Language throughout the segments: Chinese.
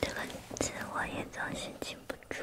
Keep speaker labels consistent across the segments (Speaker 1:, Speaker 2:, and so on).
Speaker 1: 这个词我也总是记不住。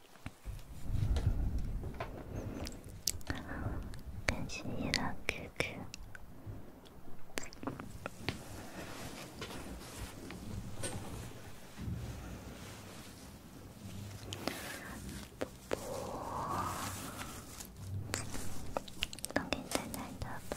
Speaker 1: 跟心仪拉 Q Q，不不，赶紧再拿多包。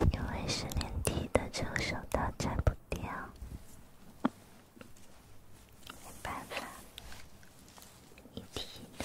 Speaker 1: 因为是连体的，承受的才不掉。没办法，一体的。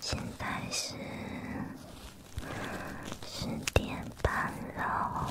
Speaker 2: 现在是十点半了。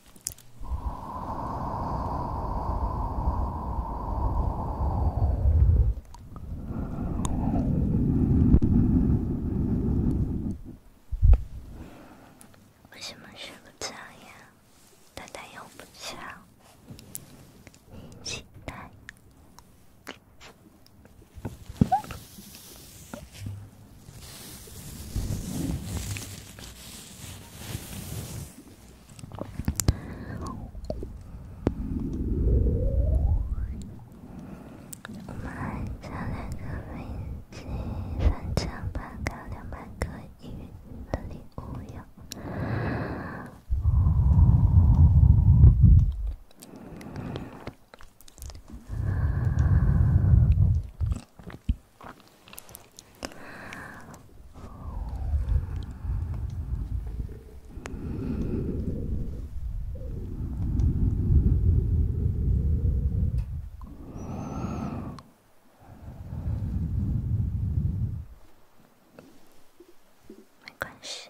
Speaker 2: 为什么睡不着呀？大大又不笑，你起来。我们家两个飞机，三千八，卡两百个一的礼物哟。没关系。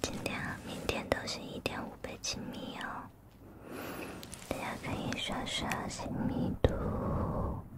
Speaker 2: 今天、明天都是一点倍亲密哦，大家可以刷刷亲密度。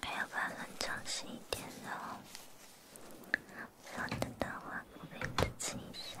Speaker 2: 还要把灯调暗一点呢，不然的话会被刺激一下。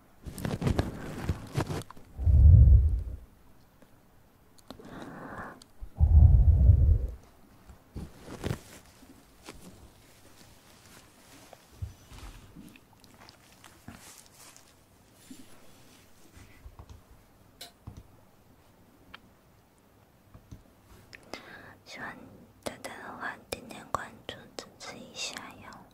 Speaker 2: 喜欢丹丹的话，点点关注支持一下哟。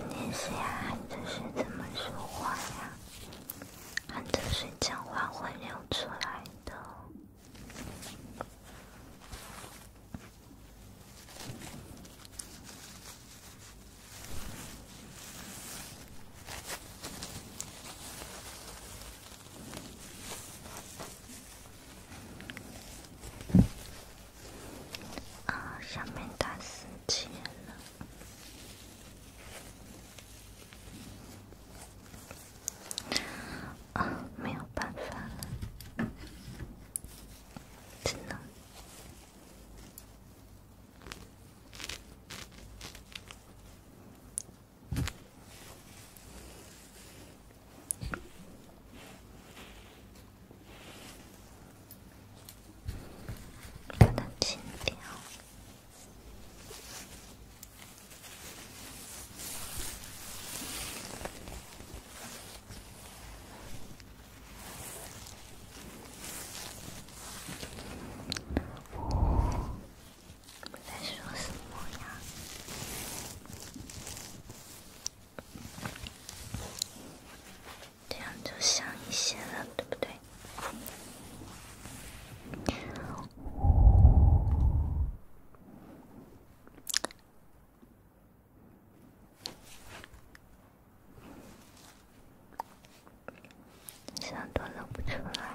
Speaker 2: 肯定是呀，含着怎么说话呀？含着水讲话会流出来的。啊，下面打湿结了。啊，没有办法了，真的，把它清掉。在说什么呀？这样就像一些了，对不对？上都露不出来。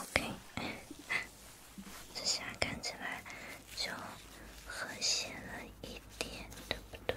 Speaker 2: OK，这下看起来就和谐了一点，对不对？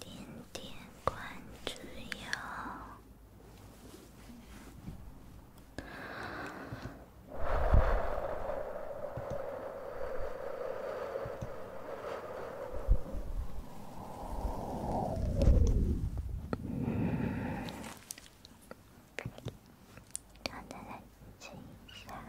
Speaker 2: 点点关注哟！好的，注意一下。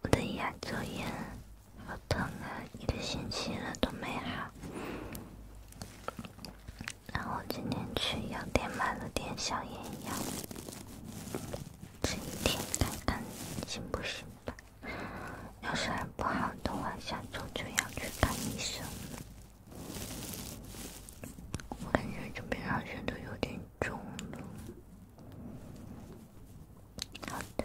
Speaker 2: 我的牙周炎好痛啊，一个星期了都没好。然后今天去药店买了点消炎药，吃一天看看行不行吧。要是不好的话，下周就要去看医生。我感觉这边好像都有点肿了。好的。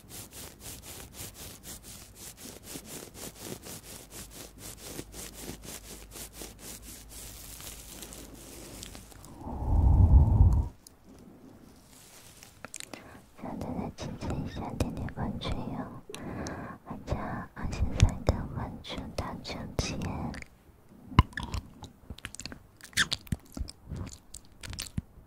Speaker 1: 想再再亲亲一下，点点关注哟，加二千三个关注到赚钱。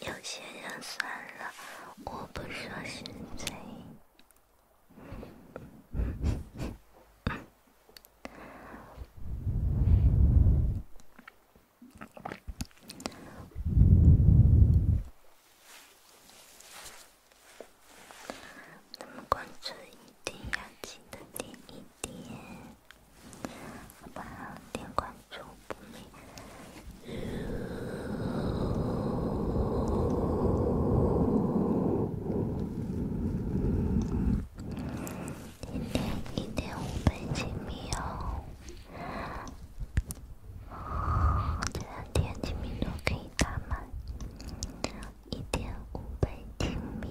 Speaker 1: 有些人算了，我不说是谁。那么关注一定要记得点一点。好吧，点关注不迷。今天一点五倍镜瞄，这两天镜面都可以打满。一点五倍镜瞄。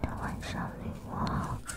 Speaker 1: 大晚上，你我好熟。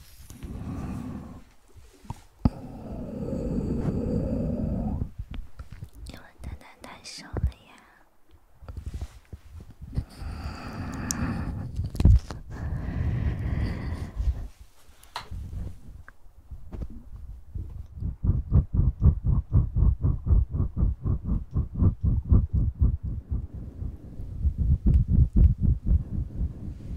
Speaker 1: 你们蛋蛋太瘦了呀！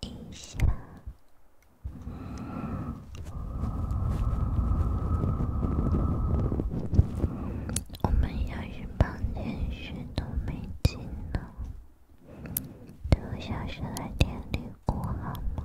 Speaker 1: 一下，我们要学帮年学都没进呢，等我小学来天津过好吗？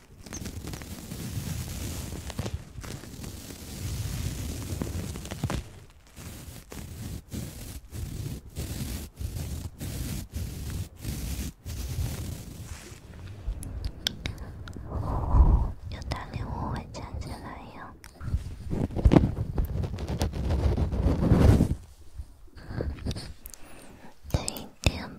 Speaker 1: 有大礼物会抢起点。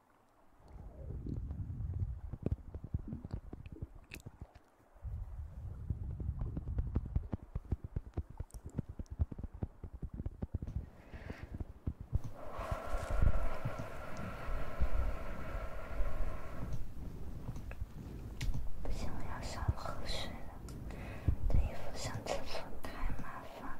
Speaker 2: 不行，我要上厕所了。这衣服上厕所太麻烦了。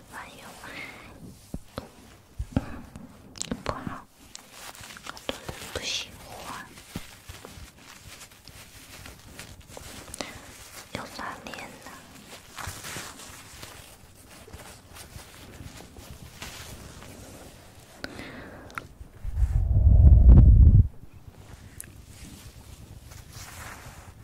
Speaker 2: 反正都不好，很多人不喜欢，要刷脸呢。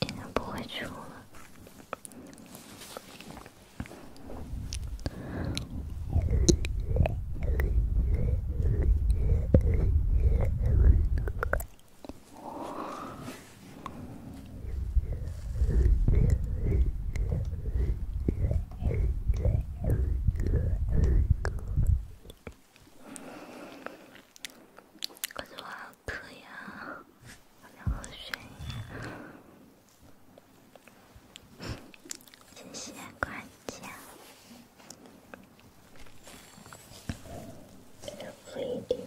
Speaker 2: 应该不会出了。感觉我还可以啊，我要喝水，谢谢夸奖，努力一点。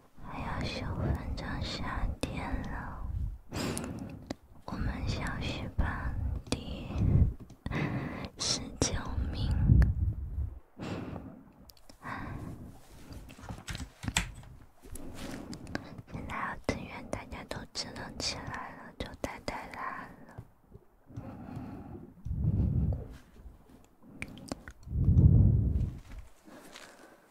Speaker 2: 还要九分钟下电了，我们小学班第十九名。现在要登远，大家都激动起来了，就太太难了。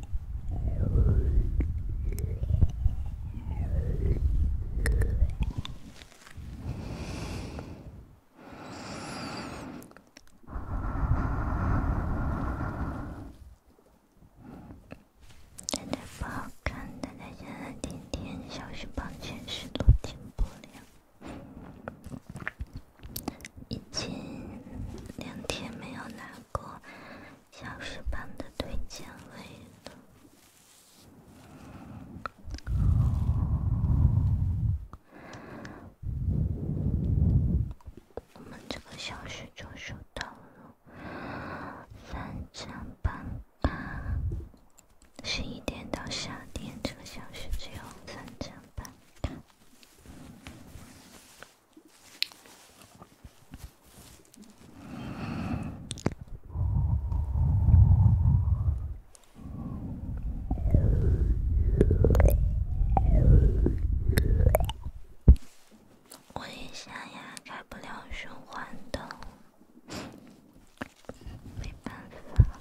Speaker 2: 奶奶不好看，奶奶现在天天消息朋友圈，谁都进不了。已经两天没有难过。小时班的推荐位了，我们这个小时就收到了三张半啊，十一点到十二点这个小时只有三张半。我一下也开不了循环灯，没办法。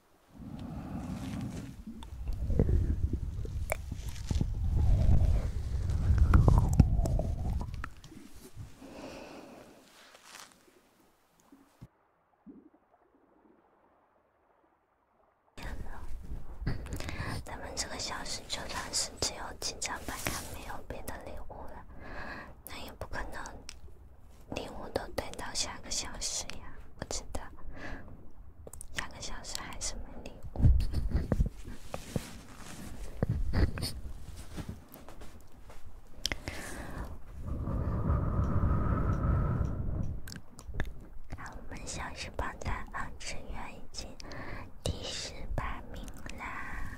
Speaker 2: 好了，咱们这个小时就算是只有紧张版卡没有别的礼物了，那也不可能。礼物都堆到下个小时呀，不知道，下个小时还是没礼物。看我们小时榜在安之源已经第十八名啦。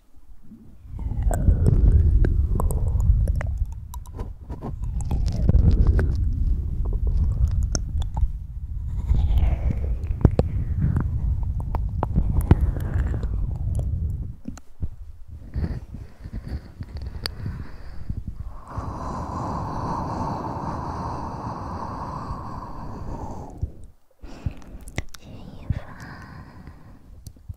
Speaker 2: 钱一凡。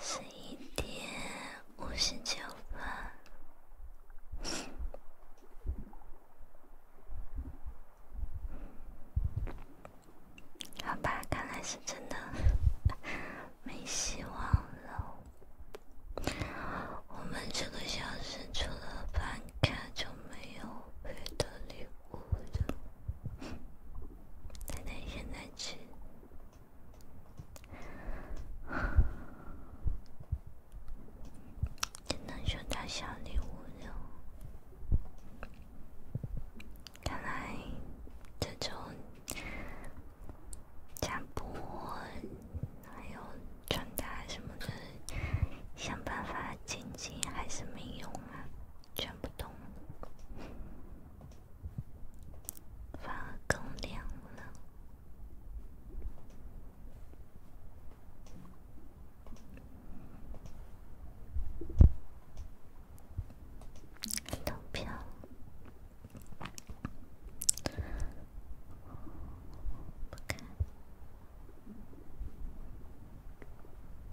Speaker 2: 十一点五十九分，好吧，看来是真的没希望了。我们这个小时除了办卡就没有别的礼物。哭的，奶奶现在吃，只能收到小礼物了。看来这种直播还有穿搭什么的，想办法晋级还是没用啊。全不动，反而更亮了，都飘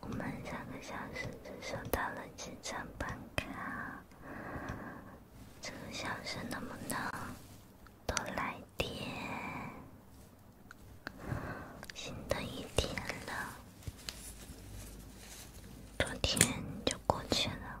Speaker 2: 我们两个小时只收到了几张办卡，这个小时能不能多来点？新的一天了，昨天就过去了。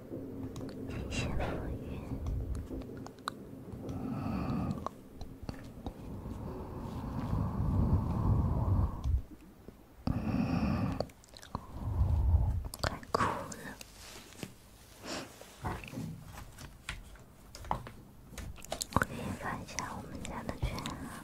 Speaker 2: 谢谢福云，快哭了！我给发一下我们家的群啊。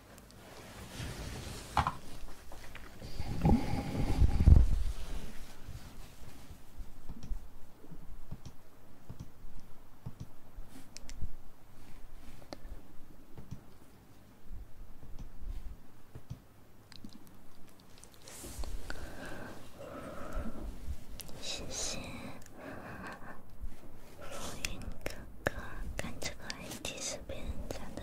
Speaker 2: 谢谢浮云哥哥，看这个 IT 视频讲的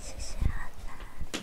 Speaker 2: 谢谢，阿南。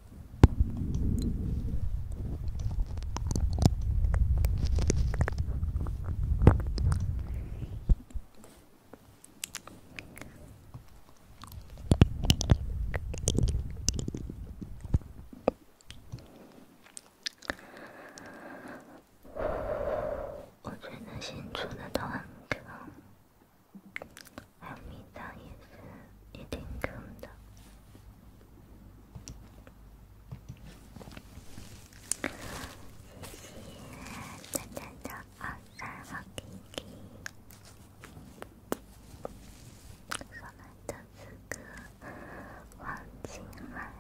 Speaker 2: 我觉得新出的都很坑，还有米仓也是，也挺坑的。谢谢丹丹的二三好听，我们的哥哥黄景汉，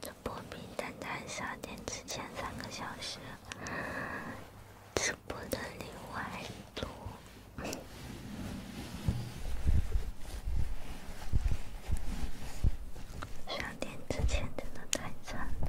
Speaker 2: 这波比丹丹点，只前三个小时。直播的另外路，十二点之前真的太惨了。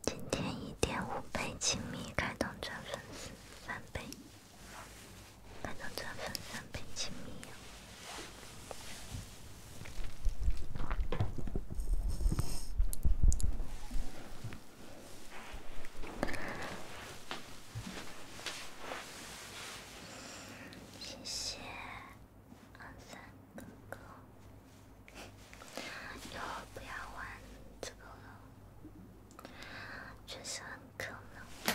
Speaker 2: 今天一点倍亲密，开通钻粉丝翻倍，开通钻粉翻亲密，谢谢，二三。哥哥，以后不要玩这个了，确实很渴呢。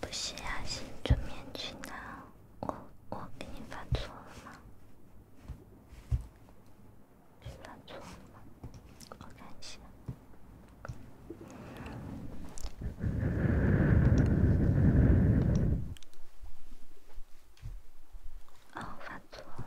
Speaker 2: 不是啊，是做面具呢。我我给你发错了吗？发错了吗？我看一下。哦，发错了。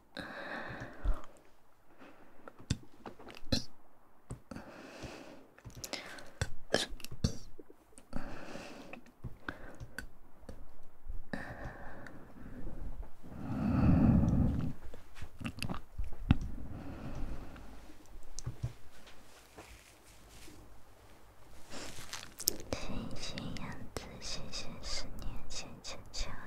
Speaker 2: 星星样子，星星十年前，坚强。